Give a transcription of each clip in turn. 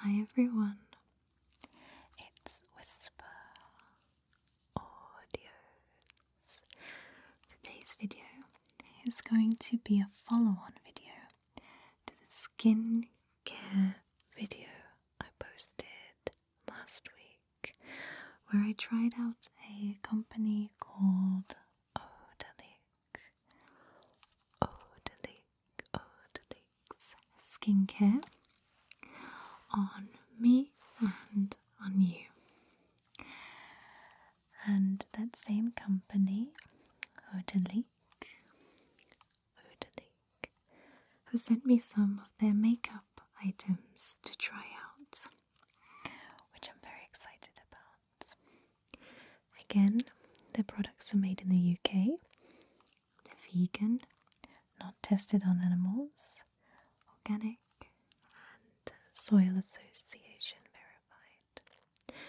Hi everyone, it's Whisper Audios. Today's video is going to be a follow on video to the skincare video I posted last week where I tried out a company called Odalic. Odalic. Good skincare on me and on you. And that same company, Odalique, Odalique, who sent me some of their makeup items to try out, which I'm very excited about. Again, their products are made in the UK vegan, not tested on animals, organic, and soil association verified.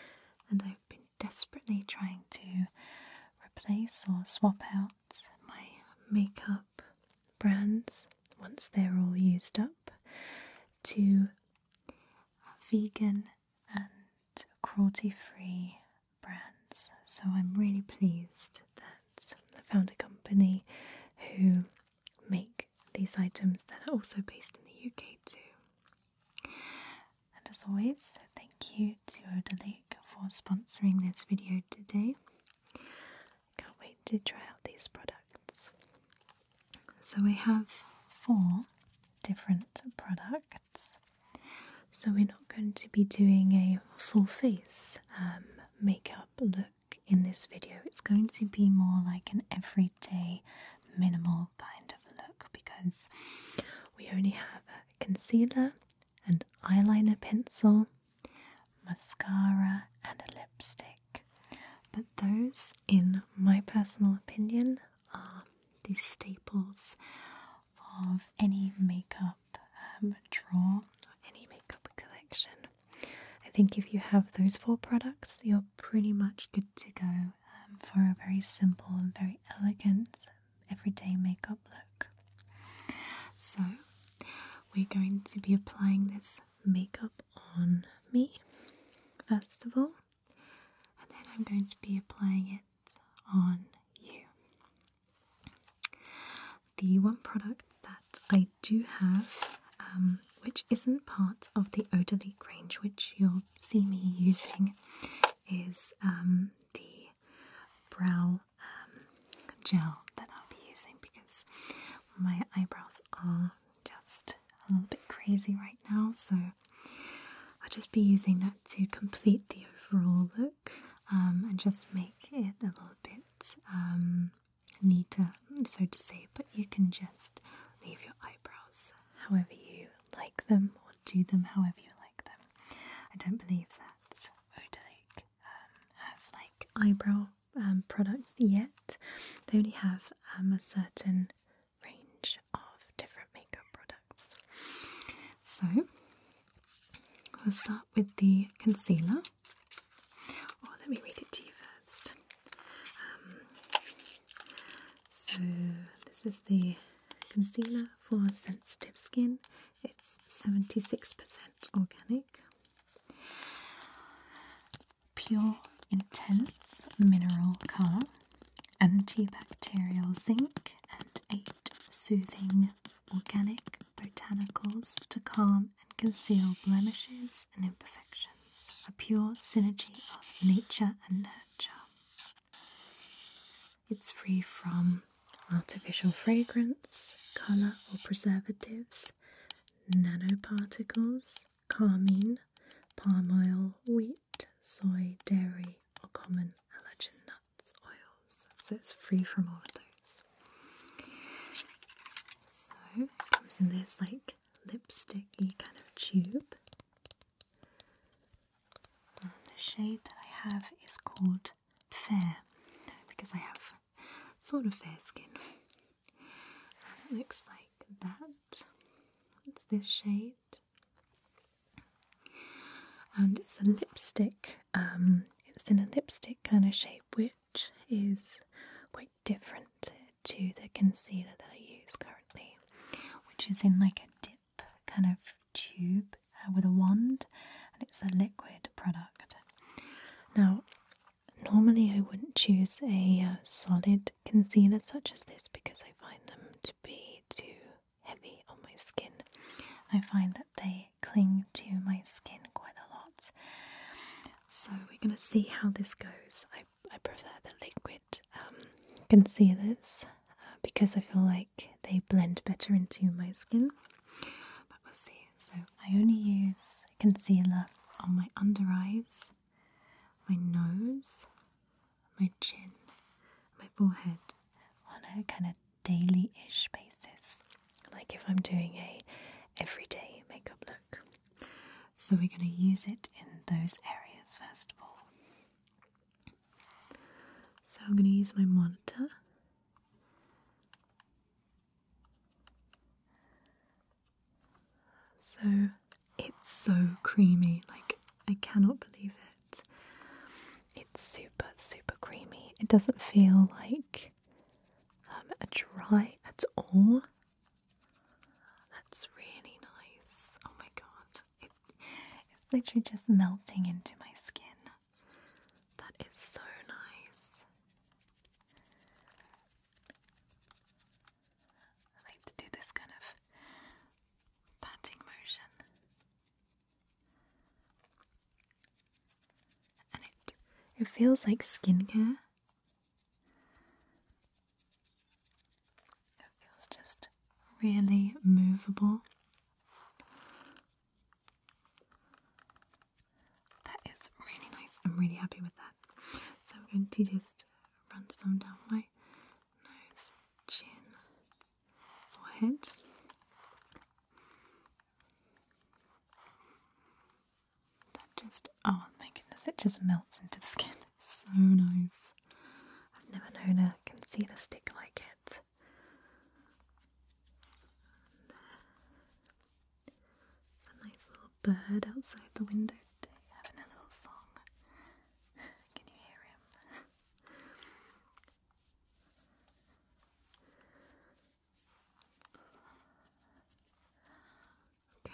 And I've been desperately trying to replace or swap out my makeup brands once they're all used up to vegan and cruelty free brands. So I'm really pleased that I found a company who make these items that are also based in the UK too. And as always, thank you to Odalake for sponsoring this video today. can't wait to try out these products. So we have four different products. So, we're not going to be doing a full face um, makeup look in this video. It's going to be more like an everyday, minimal kind of look because we only have a concealer and eyeliner pencil, mascara, and a lipstick. But those, in my personal opinion, are the staples of any makeup um, draw or any makeup collection. I think if you have those four products, you're pretty much good to go um, for a very simple and very elegant everyday makeup look. So, we're going to be applying this makeup on me, first of all, and then I'm going to be applying it on you. The one product that I do have, um, which isn't part of the Odalique range, which you'll see me using, is um, the brow um, gel that I'll be using because my eyebrows are just a little bit crazy right now, so I'll just be using that to complete the overall look um, and just make it a little bit um, neater, so to say, but you can just leave your eyebrows however you like them or do them however you like them. I don't believe that Odalic um, have like eyebrow um, products yet. They only have a certain range of different makeup products. So we'll start with the concealer. oh, let me read it to you first. Um, so this is the concealer for sensitive skin. It's 76% organic. Pure Intense Mineral Colour antibacterial zinc, and eight soothing organic botanicals to calm and conceal blemishes and imperfections. A pure synergy of nature and nurture. It's free from artificial fragrance, colour or preservatives, nanoparticles, carmine, palm oil, wheat, soy, dairy, or common allergen nuts, oils. So it's free from all of those. So it comes in this like lipsticky kind of tube. And the shade that I have is called Fair because I have sort of fair skin. And it looks like that. It's this shade. And it's a lipstick, um, it's in a lipstick kind of shape, which is quite different to the concealer that I use currently, which is in like a dip kind of tube uh, with a wand, and it's a liquid product. Now, normally I wouldn't choose a uh, solid concealer such as this because I find them to be too heavy on my skin. I find that they cling to my skin quite a lot. So we're going to see how this goes. I, I prefer the liquid um, concealers uh, because I feel like they blend better into my skin. But we'll see. So I only use concealer on my under eyes, my nose, my chin, my forehead on a kind of daily ish basis, like if I'm doing a everyday makeup look. So we're going to use it in those areas first of all. So I'm going to use my monitor. So it's so creamy, like, I cannot believe it. It's super, super creamy. It doesn't feel like um, a dry at all. That's really nice. Oh my god. it's literally just melting into my skin. That is so nice. like to do this kind of patting motion, and it it feels like skincare. It feels just really movable. That is really nice. I'm really happy with that. So I'm going to just run some down my nose, chin, forehead. That just, oh my goodness, it just melts into the skin. so nice. I've never known a concealer stick like it. There's a nice little bird outside the window having a little song. Can you hear him? Okay.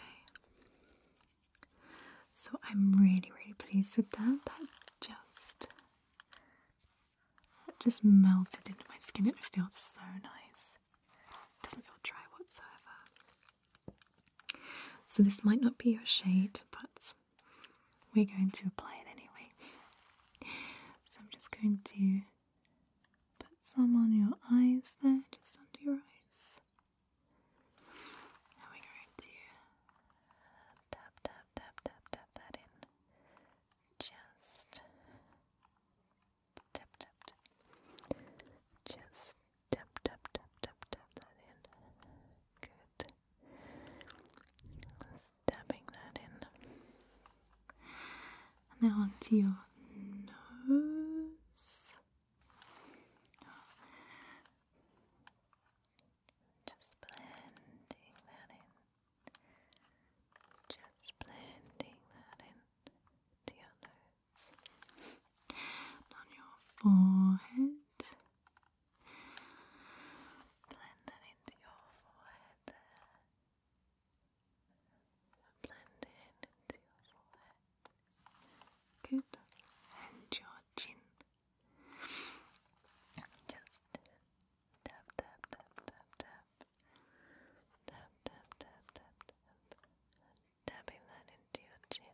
So I'm really, really pleased with that. That just just melted into my skin. It feels so nice. It doesn't feel dry whatsoever. So this might not be your shade, but we're going to apply it anyway. So I'm just going to put some on your eyes there, just under your eyes. And we're going to tap, tap, tap, tap, tap that in. Just tap, tap, tap. Just Tap, tap, tap, tap, tap that in. Good. Stabbing that in. Now onto your nose. Just blending that in. Just blending that in to your nose. on your forehead. Blend that into your forehead Blend it into your forehead. Good. And your chin. Just tap, tap, tap, tap, tap. Tap, tap, tap, tap, tap. Tapping that into your chin.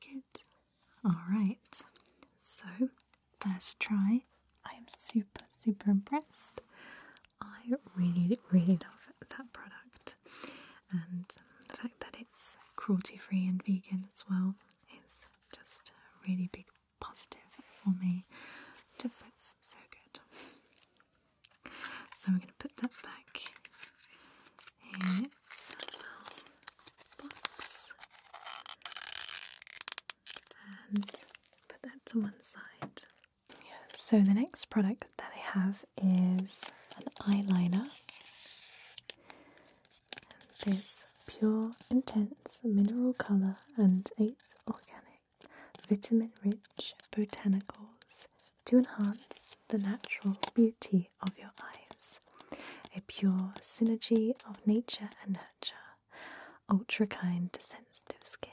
Good. Alright, so first try. I am super, super impressed. I really, really love that product. And the fact that it's cruelty free and vegan as well is just a really big positive for me. Just it's so good. So we're going to put that back and put that to one side. so the next product that I have is an eyeliner. this pure, intense mineral color and eight organic, vitamin rich botanicals to enhance the natural beauty of your eyes. A pure synergy of nature and nurture, ultra kind to sensitive skin.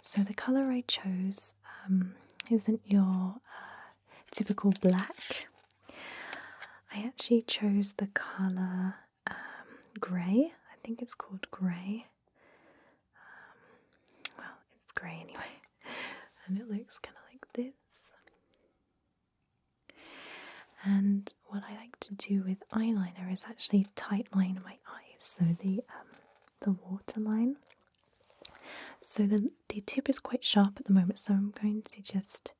So, the colour I chose um, isn't your uh, typical black. I actually chose the colour um, grey. I think it's called grey. Um, well, it's grey anyway, and it looks kind of like this. And what I like to do with eyeliner is actually tight line my eyes, so the um, the waterline. So the the tip is quite sharp at the moment, so I'm going to just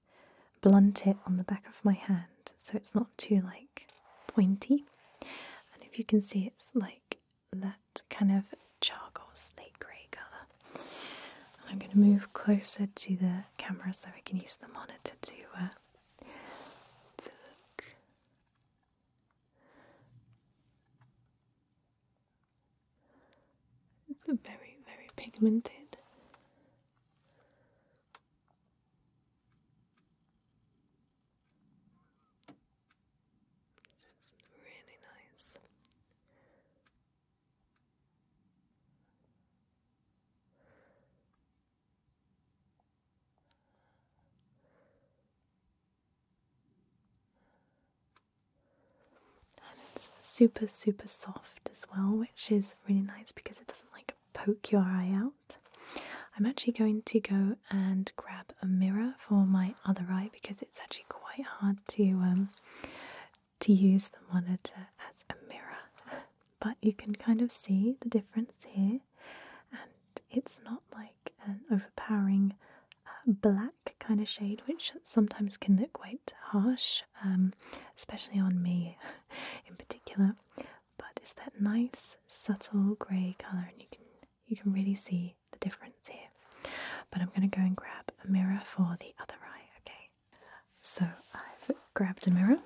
blunt it on the back of my hand, so it's not too like pointy. And if you can see, it's like that kind of charcoal slate grey colour. And I'm going to move closer to the camera so we can use the monitor to, work. Uh, it's a very, very pigmented. It's really nice. And it's super, super soft as well, which is really nice because it doesn't like poke your eye out. I'm actually going to go and grab a mirror for my other eye because it's actually quite hard to um, to use the monitor as a mirror. But you can kind of see the difference here, and it's not like an overpowering uh, black kind of shade, which sometimes can look quite harsh, um, especially on me in particular. But it's that nice subtle grey colour, and you can you can really see the difference here. But I'm going to go and grab a mirror for the other eye, okay? So I've grabbed a mirror.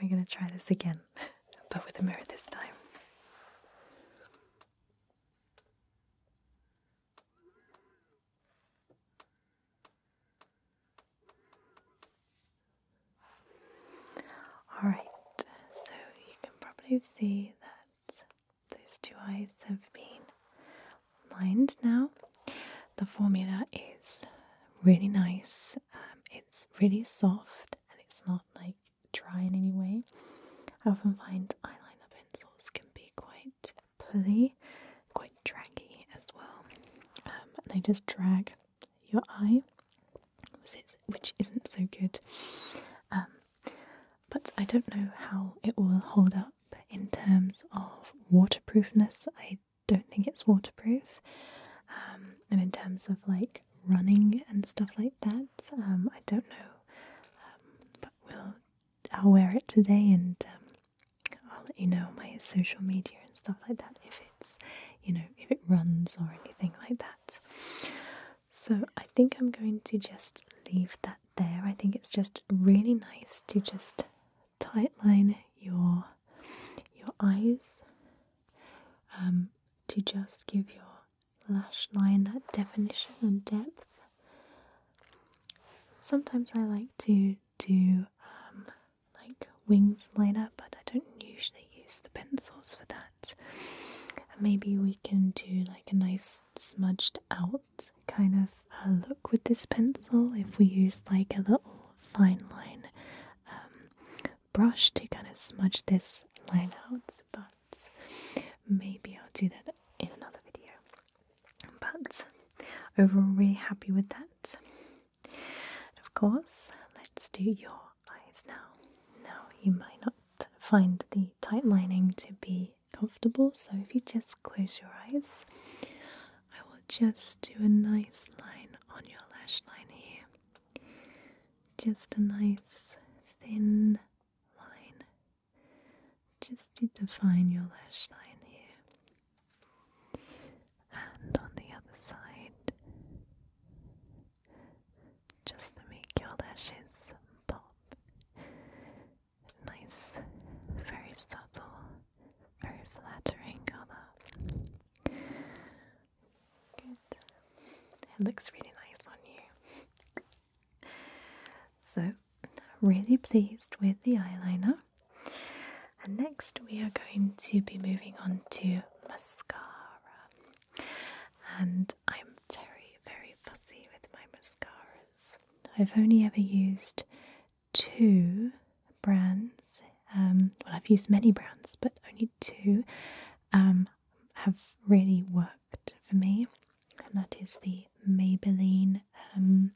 We're going to try this again, but with a mirror this time. Alright, so you can probably see that those two eyes have been lined now. The formula is really nice. Um, it's really soft and it's not like dry in any way. I often find eyeliner pencils can be quite pulley, quite draggy as well. Um, they just drag your eye, which isn't so good. Um, but I don't know how it will hold up in terms of waterproofness. I don't think it's waterproof, um, and in terms of like running and stuff like that, um, I don't know. Um, but we'll I'll wear it today, and I'll let you know on my social media and stuff like that if it's you know if it runs or anything like that. So I think I'm going to just leave that there. I think it's just really nice to just tightline your your eyes um, to just give your lash line that definition and depth. Sometimes I like to do um, like wings later, but I don't usually use the pencils for that. Maybe we can do like a nice smudged out kind of uh, look with this pencil if we use like a little fine line um, brush to kind of smudge this line out. But maybe I'll do that in another video. But overall, really happy with that. And of course, let's do your eyes now. Now, you might not find the tight lining to be comfortable. So if you just close your eyes, I will just do a nice line on your lash line here. Just a nice thin line, just to define your lash line here. And on the other side, just to make your lashes pop. Nice, very subtle, very flattering color. Good. It looks really nice on you. So, really pleased with the eyeliner. And next, we are going to be moving on to mascara and I'm very, very fussy with my mascaras. I've only ever used two brands. Um, well, I've used many brands, but only two um, have really worked for me, and that is the Maybelline. Um,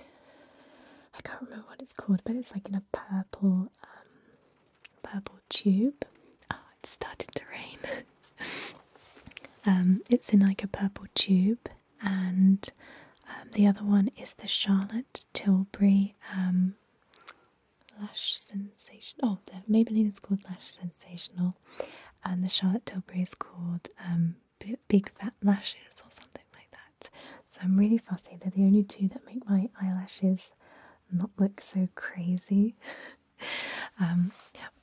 I can't remember what it's called, but it's like in a purple, purple tube. Ah, it's starting to rain. Um, it's in like a purple tube, and um, the other one is the Charlotte Tilbury um, Lash Sensation. Oh, the Maybelline is called Lash Sensational, and the Charlotte Tilbury is called Big Fat Lashes or something like that. So I'm really fussy. They're the only two that make my eyelashes not look so crazy. Um,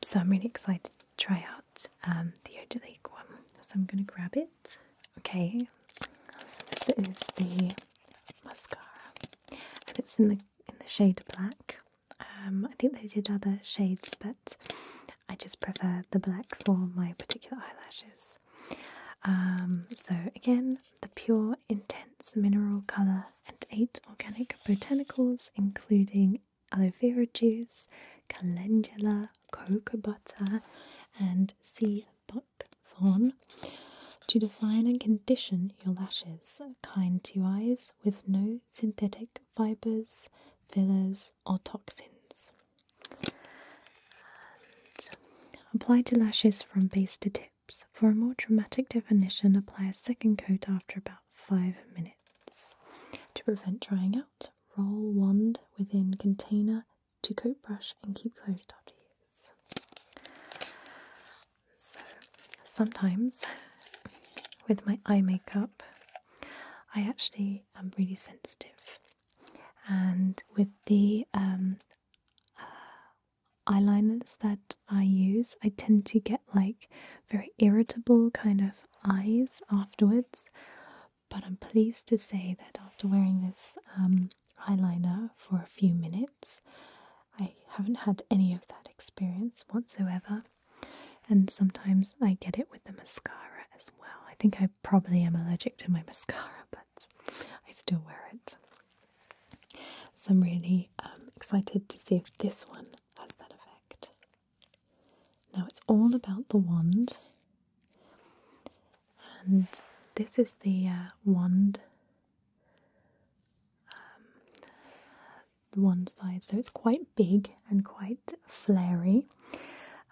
so I'm really excited to try out um, the Odalique one. So I'm going to grab it. Okay, so this is the mascara, and it's in the in the shade black. Um, I think they did other shades, but I just prefer the black for my particular eyelashes. so again, the pure intense mineral color and eight organic botanicals, including aloe vera juice, calendula, cocoa butter, and sea buckthorn, to define and condition your lashes, kind to eyes, with no synthetic fibers, fillers, or toxins. apply to lashes from base to tip for a more dramatic definition apply a second coat after about 5 minutes. To prevent drying out, roll wand within container to coat brush and keep closed after use. So, sometimes with my eye makeup, I actually am really sensitive. And with the um, uh, eyeliners that I use, I tend to get like very irritable kind of eyes afterwards. But I'm pleased to say that after wearing this um, eyeliner for a few minutes, I haven't had any of that experience whatsoever. And sometimes I get it with the mascara as well. I think I probably am allergic to my mascara, but I still wear it. So I'm really um, excited to see if this one has that effect. Now it's all about the wand, and this is the uh, wand. Um, the wand size, so it's quite big and quite flary.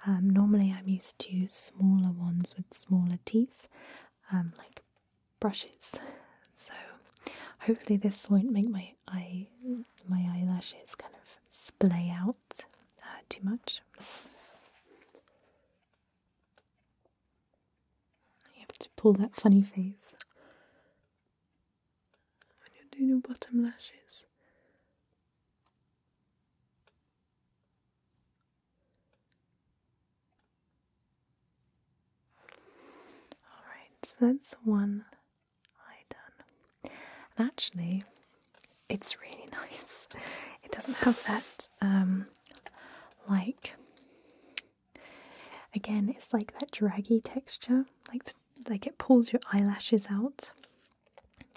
Um, normally, I'm used to smaller ones with smaller teeth, um, like brushes. So hopefully this won't make my eye my eyelashes kind of splay out uh, too much. You have to pull that funny face when you're doing your bottom lashes. Alright, so that's one eye done. And actually, it's really nice. It doesn't have that, um, like, again, it's like that draggy texture, like, like it pulls your eyelashes out.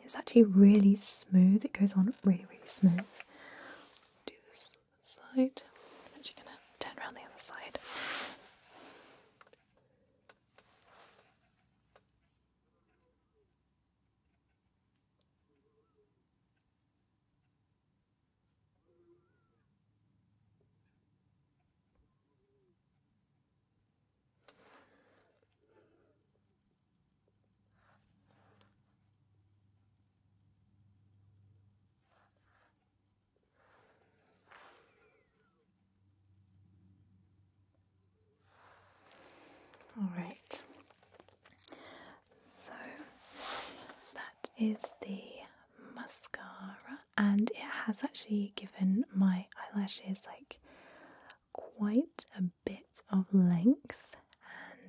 It's actually really smooth, it goes on really, really smooth side. I'm actually going to turn around the other side. All right. So that is the mascara, and it has actually given my eyelashes like quite a bit of length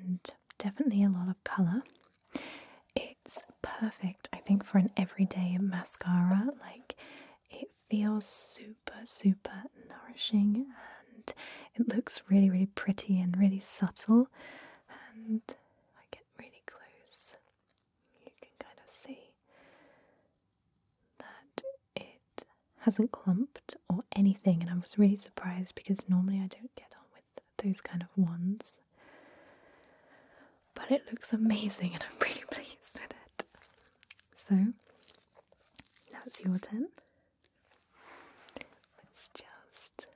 and definitely a lot of colour it's perfect, I think, for an everyday mascara. Like, it feels super, super nourishing and it looks really, really pretty and really subtle. And if I get really close, you can kind of see that it hasn't clumped or anything. And I was really surprised because normally I don't get on with those kind of wands. But it looks amazing and I'm really pleased with it. So that's your turn. Let's just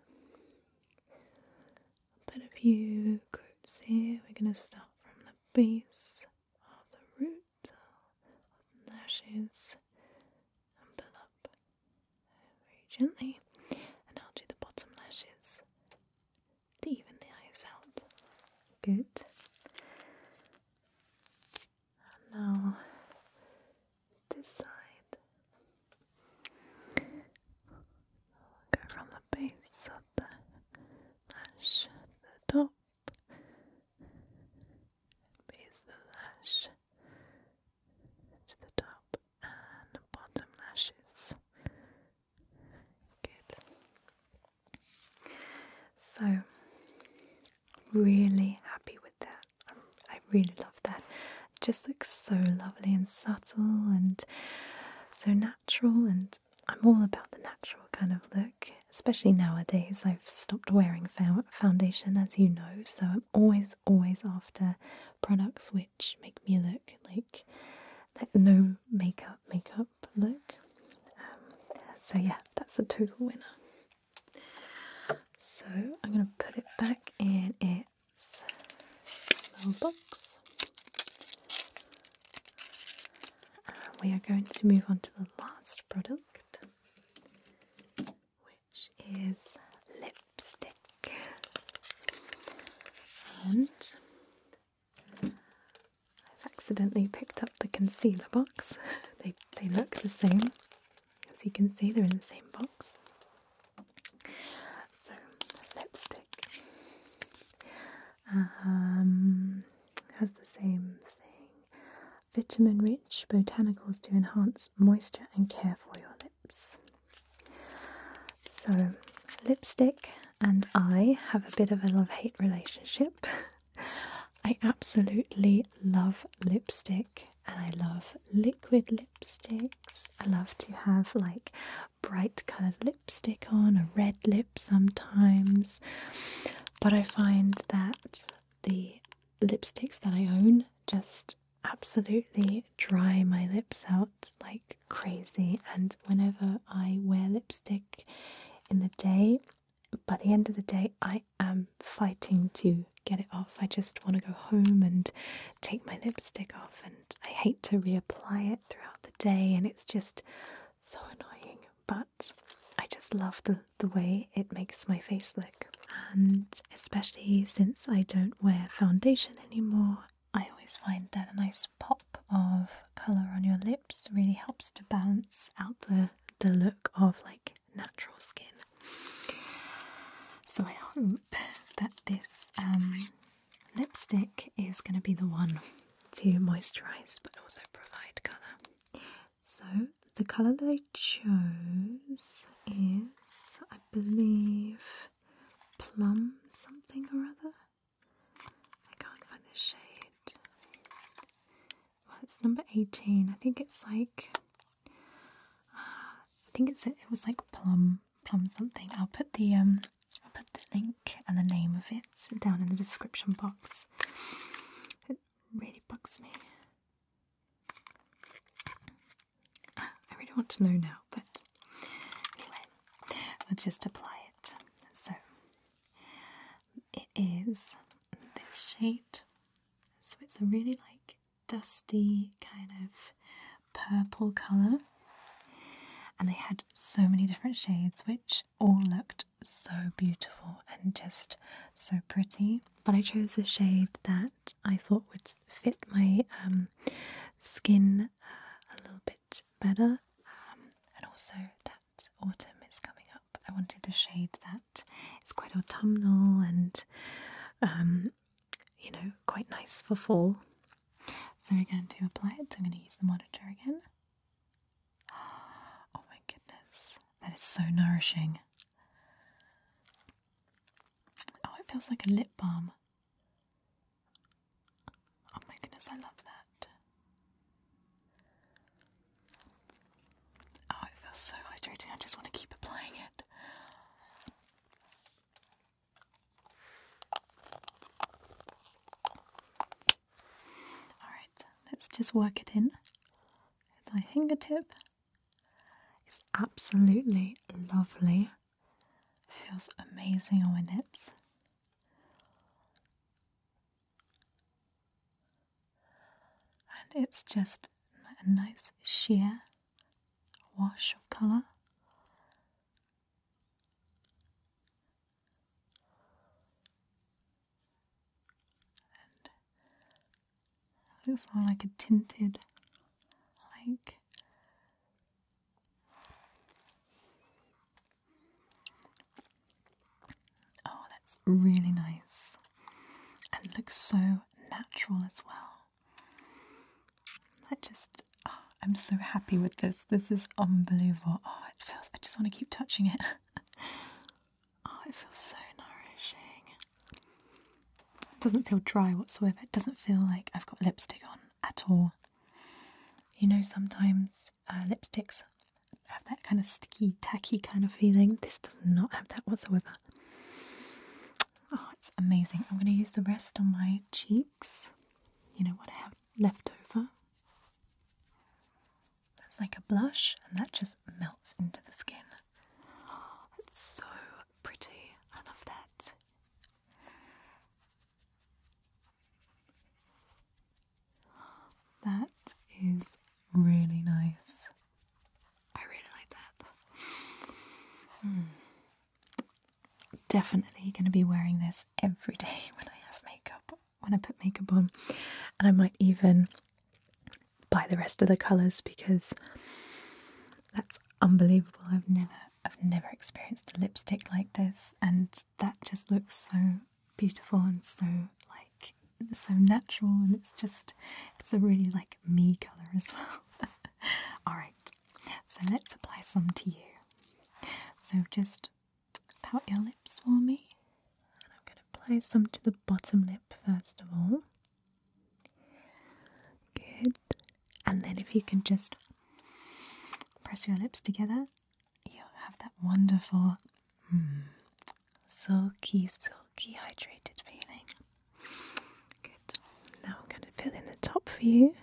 put a few groups here. We're going to start from the base of the root of the lashes and pull up very gently. And I'll do the bottom lashes to even the eyes out. Good. And now this side. Go from the base of the lash to the top. Base the lash to the top the bottom lashes. Good. So, really happy with that. Um, I really love that. just looks so lovely and subtle and so natural and I'm all about the natural kind of look, especially nowadays. I've stopped wearing foundation, as you know, so I'm always, always after products which make me look like like no makeup makeup look. Um, so yeah, that's a total winner. So I'm gonna put it back in its little box. And we are going to move on to the last product, which is lipstick. And I've accidentally picked up the concealer box. they they look the same. As you can see, they're in the same box. So lipstick um, has the same thing. Vitamin rich botanicals to enhance moisture and care for your lips. So, lipstick and I have a bit of a love hate relationship. I absolutely love lipstick and I love liquid lipsticks. I love to have like bright coloured lipstick on, a red lip sometimes. But I find that the lipsticks that I own just absolutely dry my lips out like crazy. And whenever I wear lipstick in the day, by the end of the day, I am fighting to get it off. I just want to go home and take my lipstick off, and I hate to reapply it throughout the day, and it's just so annoying. But I just love the, the way it makes my face look. And especially since I don't wear foundation anymore, I always find that a nice pop of colour on your lips really helps to balance out the the look of like natural skin. So I hope that this um, lipstick is going to be the one to moisturise but also provide colour. So the colour that I chose is, I believe, plum something or other. I can't find the shade. Well, it's number 18. I think it's like, uh, I think it's it was like plum, plum something. I'll put the um, I'll put the link and the name of it down in the description box. It really bugs me. I really want to know now, but anyway, we'll just apply it. So it is this shade. So it's a really like dusty kind of purple colour. And they had so many different shades, which all looked so beautiful and just so pretty. But I chose the shade that I thought would fit my um, skin uh, a little bit better. Um, and also, that autumn is coming up. I wanted a shade that is quite autumnal and, um, you know, quite nice for fall. So, we're going to apply it. I'm going to use the monitor again. Oh my goodness, that is so nourishing. Oh, it feels like a lip balm. Oh my goodness, I love that. Oh, it feels so hydrating. I just want to keep applying it. Alright, let's just work it in with my fingertip. It's absolutely lovely. Feels amazing on my lips. And it's just a nice sheer wash of colour. And looks more like a tinted, like Oh, that's really nice and looks so natural as well. I just, oh, I'm so happy with this. This is unbelievable. Oh, it feels, I just want to keep touching it. oh, it feels so nourishing. It doesn't feel dry whatsoever. It doesn't feel like I've got lipstick on at all. You know, sometimes uh, lipsticks have that kind of sticky, tacky kind of feeling. This does not have that whatsoever. Oh, it's amazing. I'm going to use the rest on my cheeks. You know what I have left over? That's like a blush, and that just melts into the skin. Oh, so pretty. I love that. That is really nice. I really like that. Hmm. Definitely going to be wearing this every day when I have makeup, when I put makeup on. And I might even buy the rest of the colours because that's unbelievable. I've never I've never experienced a lipstick like this, and that just looks so beautiful and so like so natural, and it's just it's a really like me color as well. All right, so let's apply some to you. So just pout your lips for me, and I'm going to apply some to the bottom lip first of all. Good. And then if you can just press your lips together, you'll have that wonderful, mm, silky, silky, hydrated feeling. Good. Now I'm going to fill in the top for you.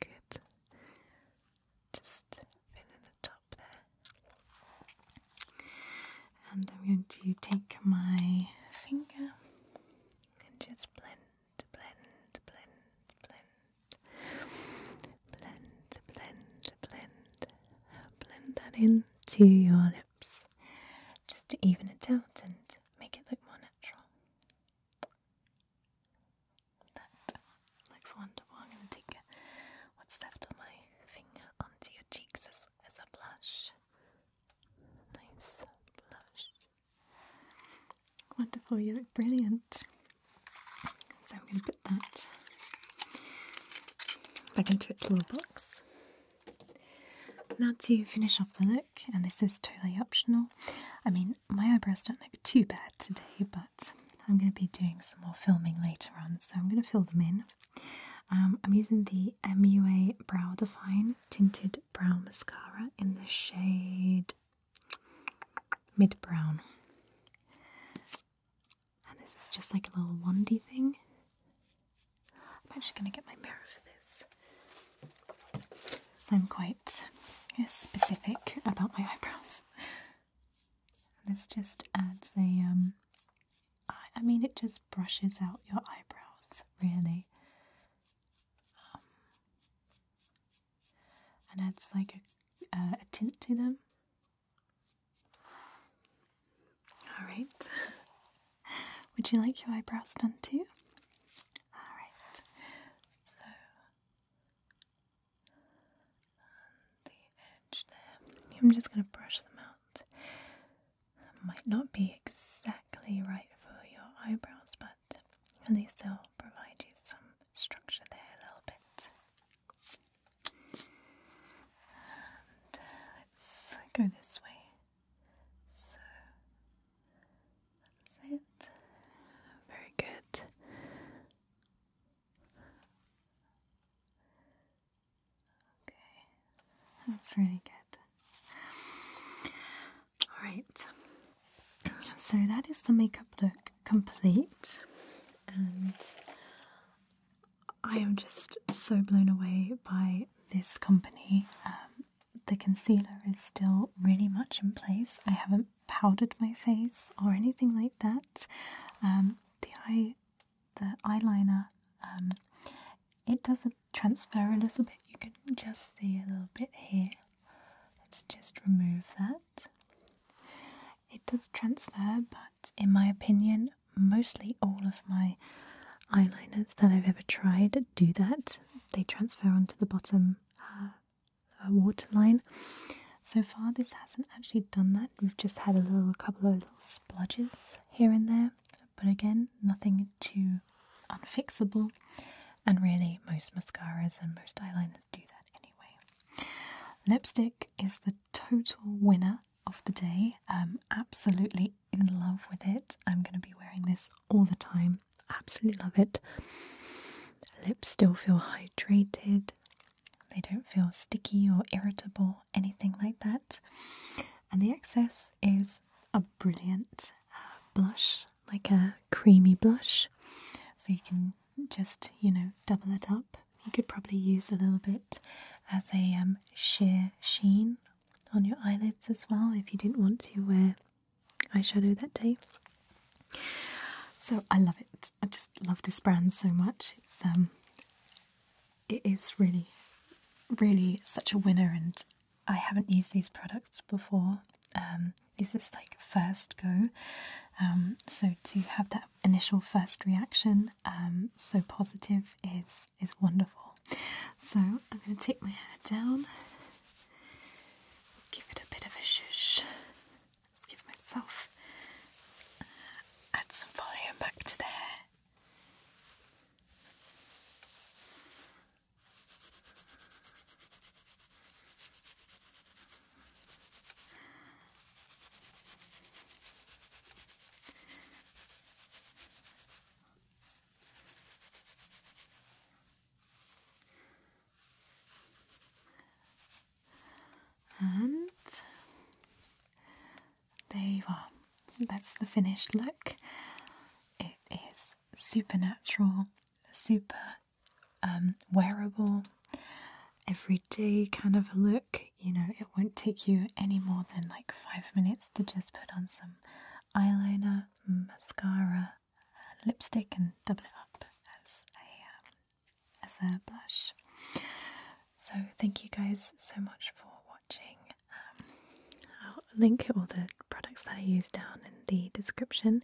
Good. Just fill in the top there. And I'm going to take my finger and just blend blend, blend, blend, blend, blend, blend, blend that into your lips just to even it out and make it look more natural. That looks wonderful. i take what's left of my finger onto your cheeks as, as a blush. Nice blush. Wonderful, you look brilliant. So we're going to put that back into its little box. Now to finish off the look, and this is totally optional. I mean, my eyebrows don't look too bad today, but I'm going to be doing some more filming later on, so I'm going to fill them in. Um, I'm using the MUA Brow Define Tinted Brown Mascara in the shade Mid Brown. And this is just like a little wandy thing. I'm actually going to get my mirror for this. So I'm quite specific about my eyebrows. this just adds a, um, I mean, it just brushes out your eyebrows, really. Um, and adds like a, uh, a tint to them. Alright. Would you like your eyebrows done too? Alright. So, the edge there, I'm just going to brush them out might not be exactly right for your eyebrows, but at least they'll provide you some structure there a little bit. Uh, let's go this way. So that's it. Very good. Okay, that's really good. Alright, so that is the makeup look complete, and I am just so blown away by this company. Um, the concealer is still really much in place. I haven't powdered my face or anything like that. Um, the eye, the eyeliner um, it doesn't transfer a little bit. You can just see a little bit here. Let's just remove that. It does transfer, but in my opinion, mostly all of my eyeliners that I've ever tried do that. They transfer onto the bottom uh, waterline. So far, this hasn't actually done that. We've just had a little a couple of little splodges here and there, but again, nothing too unfixable, and really, most mascaras and most eyeliners do that anyway. Lipstick is the total winner of the day. absolutely in love with it. I'm going to be wearing this all the time. Absolutely love it. Lips still feel hydrated, they don't feel sticky or irritable, anything like that. And the excess is a brilliant uh, blush, like a creamy blush. So you can just, you know, double it up. You could probably use a little bit as a um, sheer sheen on your eyelids as well if you didn't want to wear eyeshadow that day. So I love it. I just love this brand so much. It's um, it is really, really such a winner, and I haven't used these products before. Um, is this like first go? Um, so to have that initial first reaction, um, so positive is is wonderful. So I'm going to take my hair down, give it a bit of a shush. Let's give myself add some volume back to the hair. And they were that's the finished look. It is super natural, um, super wearable, everyday kind of look. You know, it won't take you any more than like five minutes to just put on some eyeliner, mascara, lipstick, and double it up as a um, as a blush. So thank you guys so much for watching. I'll link all the products that I use down in the description.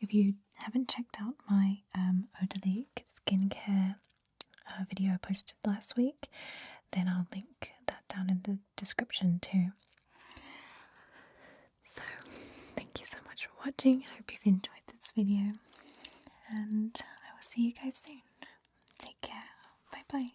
If you haven't checked out my um, skincare uh, video I posted last week, then I'll link that down in the description too. So, thank you so much for watching. I hope you've enjoyed this video, and I will see you guys soon. Take care. Bye bye.